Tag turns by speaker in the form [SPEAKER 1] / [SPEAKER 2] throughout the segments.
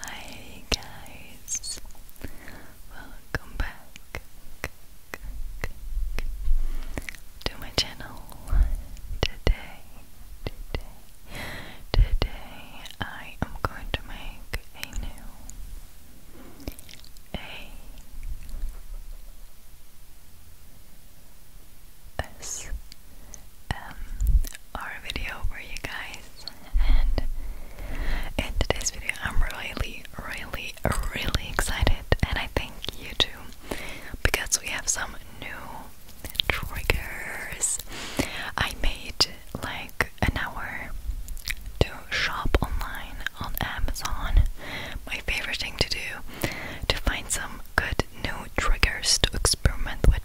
[SPEAKER 1] Hi guys, welcome back to my channel. Today, today, today, I am going to make a new us um, video for you guys and in today's video I'm really really really excited and I think you too because we have some new triggers I made like an hour to shop online on Amazon my favorite thing to do to find some good new triggers to experiment with.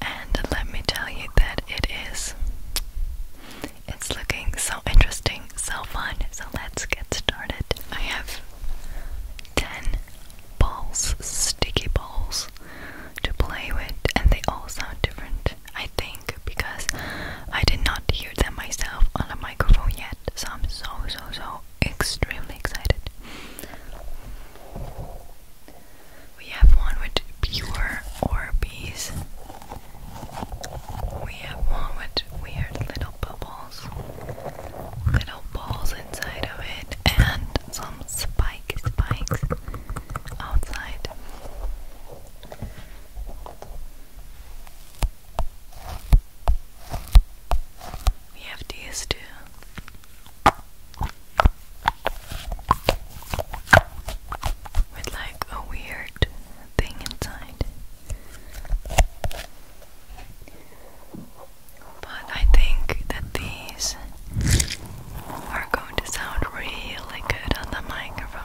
[SPEAKER 1] And let me tell you that it is. It's looking so interesting, so fun. So let's get started. I have 10 balls, sticky balls to play with, and they all sound different, I think, because I did not hear them myself on the microphone yet. So I'm so, so, so extremely excited. We have one with pure Orbeez. We have one with weird little bubbles, little balls inside of it, and some spike spikes outside. We have these two. With like a weird thing inside. But I think that these are going to sound really good on the microphone.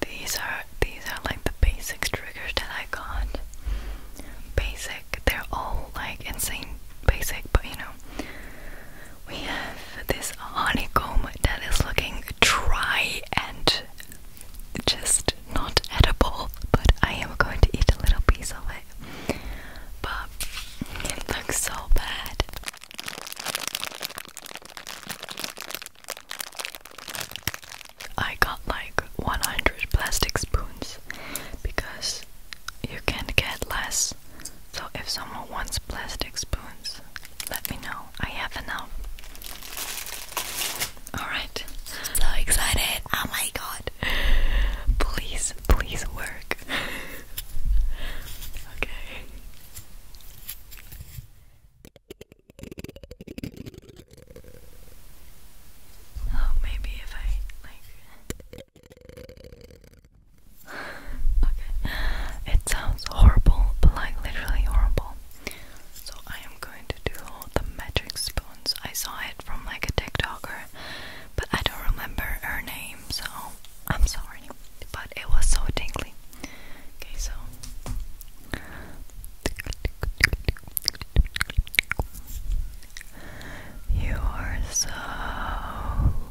[SPEAKER 1] These are these are like the basic triggers that I got. Basic, they're all like insane basic, but you know, we have this honeycomb that is looking dry and just not edible, but I am going to eat a little piece of it. But it looks so bad. I got like 100 plastic spoons because you can get less. So if someone wants plastic spoons, let me know. I have enough. Alright. So excited. Oh my god. Please, please work. okay. Oh, maybe if I like. okay. It sounds horrible, but like literally horrible. So I am going to do the magic spoons. I saw it from like a TikToker, but I don't remember her name, so I'm sorry. But it was so tingly. Okay, so you are so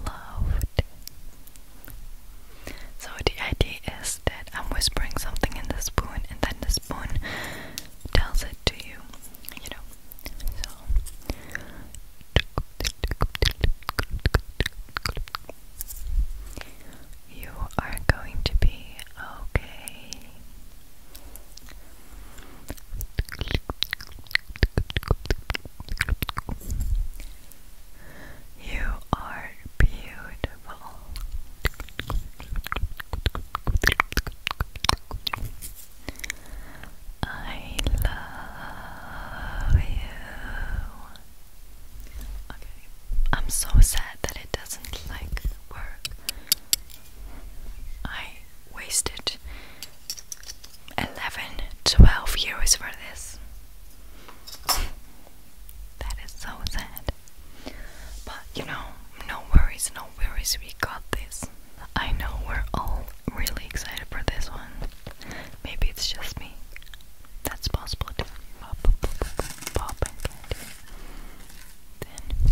[SPEAKER 1] loved. So the idea is that I'm whispering something in the spoon and then the spoon tells it to you, you know. So you are going to be okay. You are beautiful. I love you. I'm so sad that it doesn't like work. I wasted 11, 12 for this. That is so sad. But you know, no worries, no worries, we got this. I know we're all really excited for this one. Maybe it's just me. That's possible too. Then.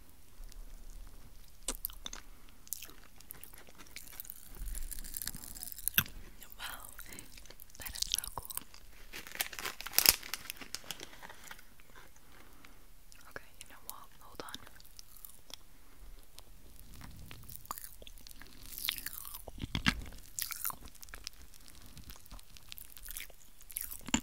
[SPEAKER 1] Wow, that is so cool. Okay, you know what? Hold on. Oh,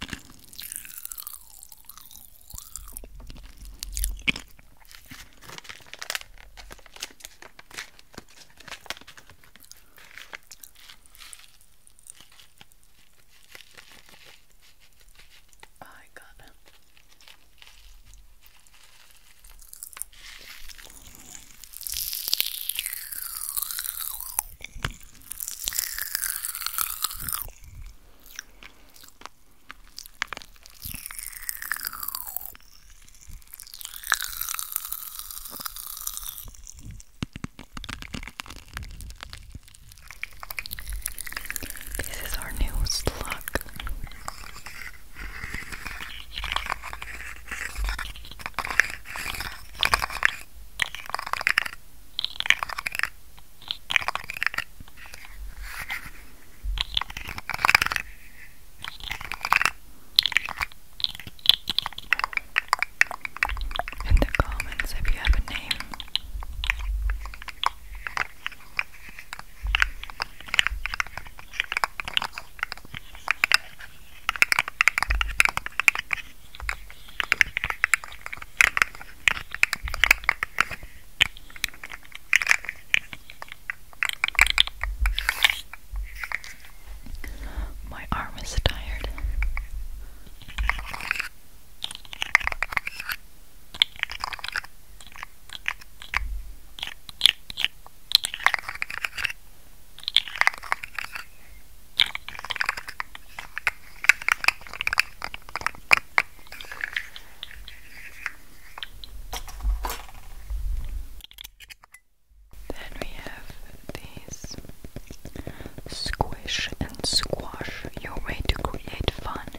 [SPEAKER 1] I got them. This is our new slug. In the comments, if you have a name. My arm is tired. Then we have these squish and squash your way to create fun.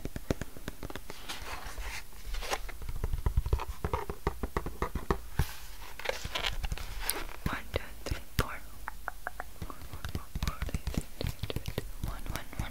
[SPEAKER 1] One, two, three four, four, four, four, eight, eight, eight, eight, eight, one, one, one.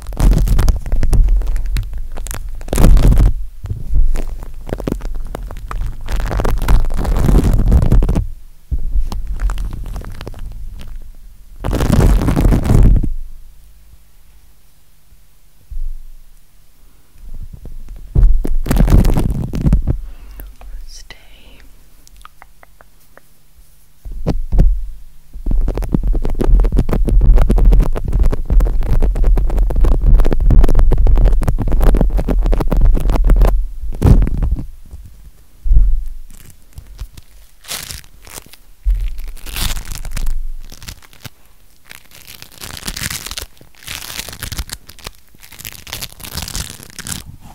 [SPEAKER 1] Stay.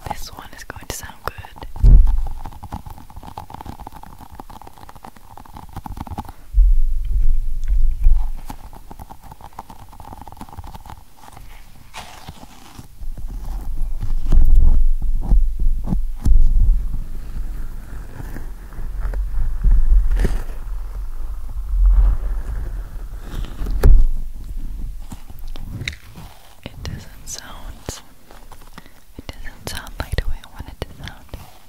[SPEAKER 1] This one is going to sound good. It doesn't sound it doesn't sound like the way I wanted it to sound.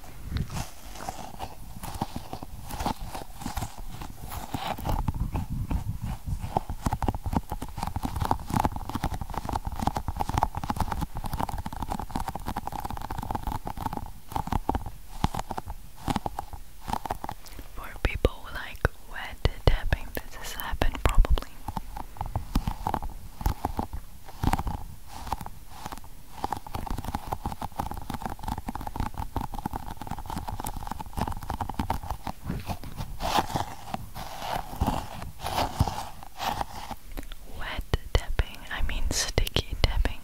[SPEAKER 1] For people like wet tapping, this has happened probably. Wet tapping, I mean sticky tapping.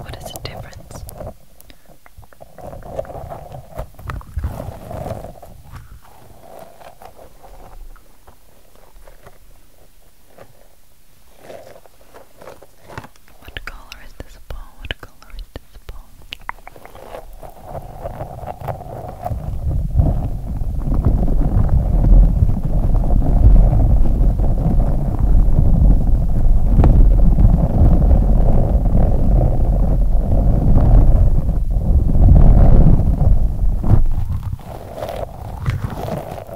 [SPEAKER 1] What is the difference? What color is this ball? What color is this ball?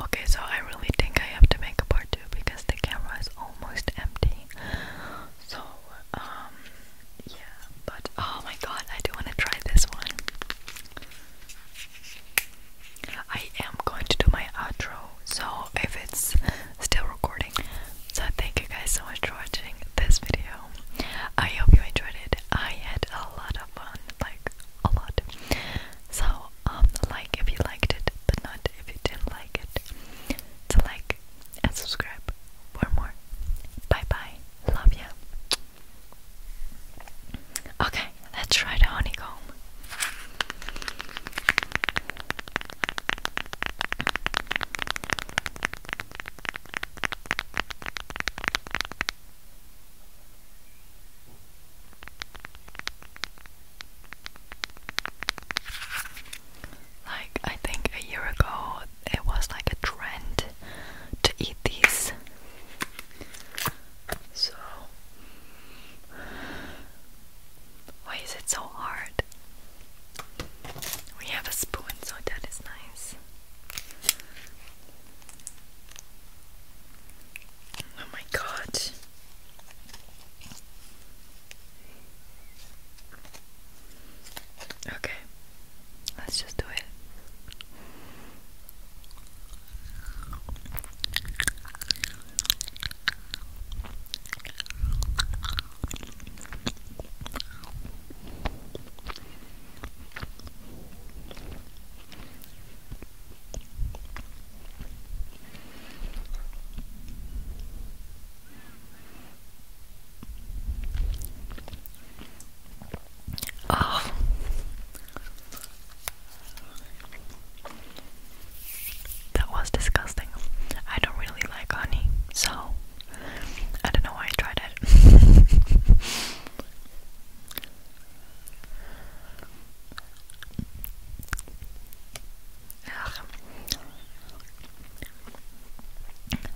[SPEAKER 1] Okay, so I really think I have to make a part two because the camera is almost empty. So, um, yeah, but oh my god, I do want to try this one. I am going to do my outro, so if it's still recording. So thank you guys so much for watching this video. I hope you enjoyed it. I had a lot of fun, like a lot. So um like if you liked it, but not if you didn't like it. To like and subscribe for more. Bye bye. Love you. Okay, let's try the honeycomb. Like, I think a year ago, it was like a trend to eat these. So, why is it so hard? We have a spoon, so that is nice. Oh my god. Okay let's just do it. Oh. That was disgusting. I don't really like honey, so I don't know why I tried it.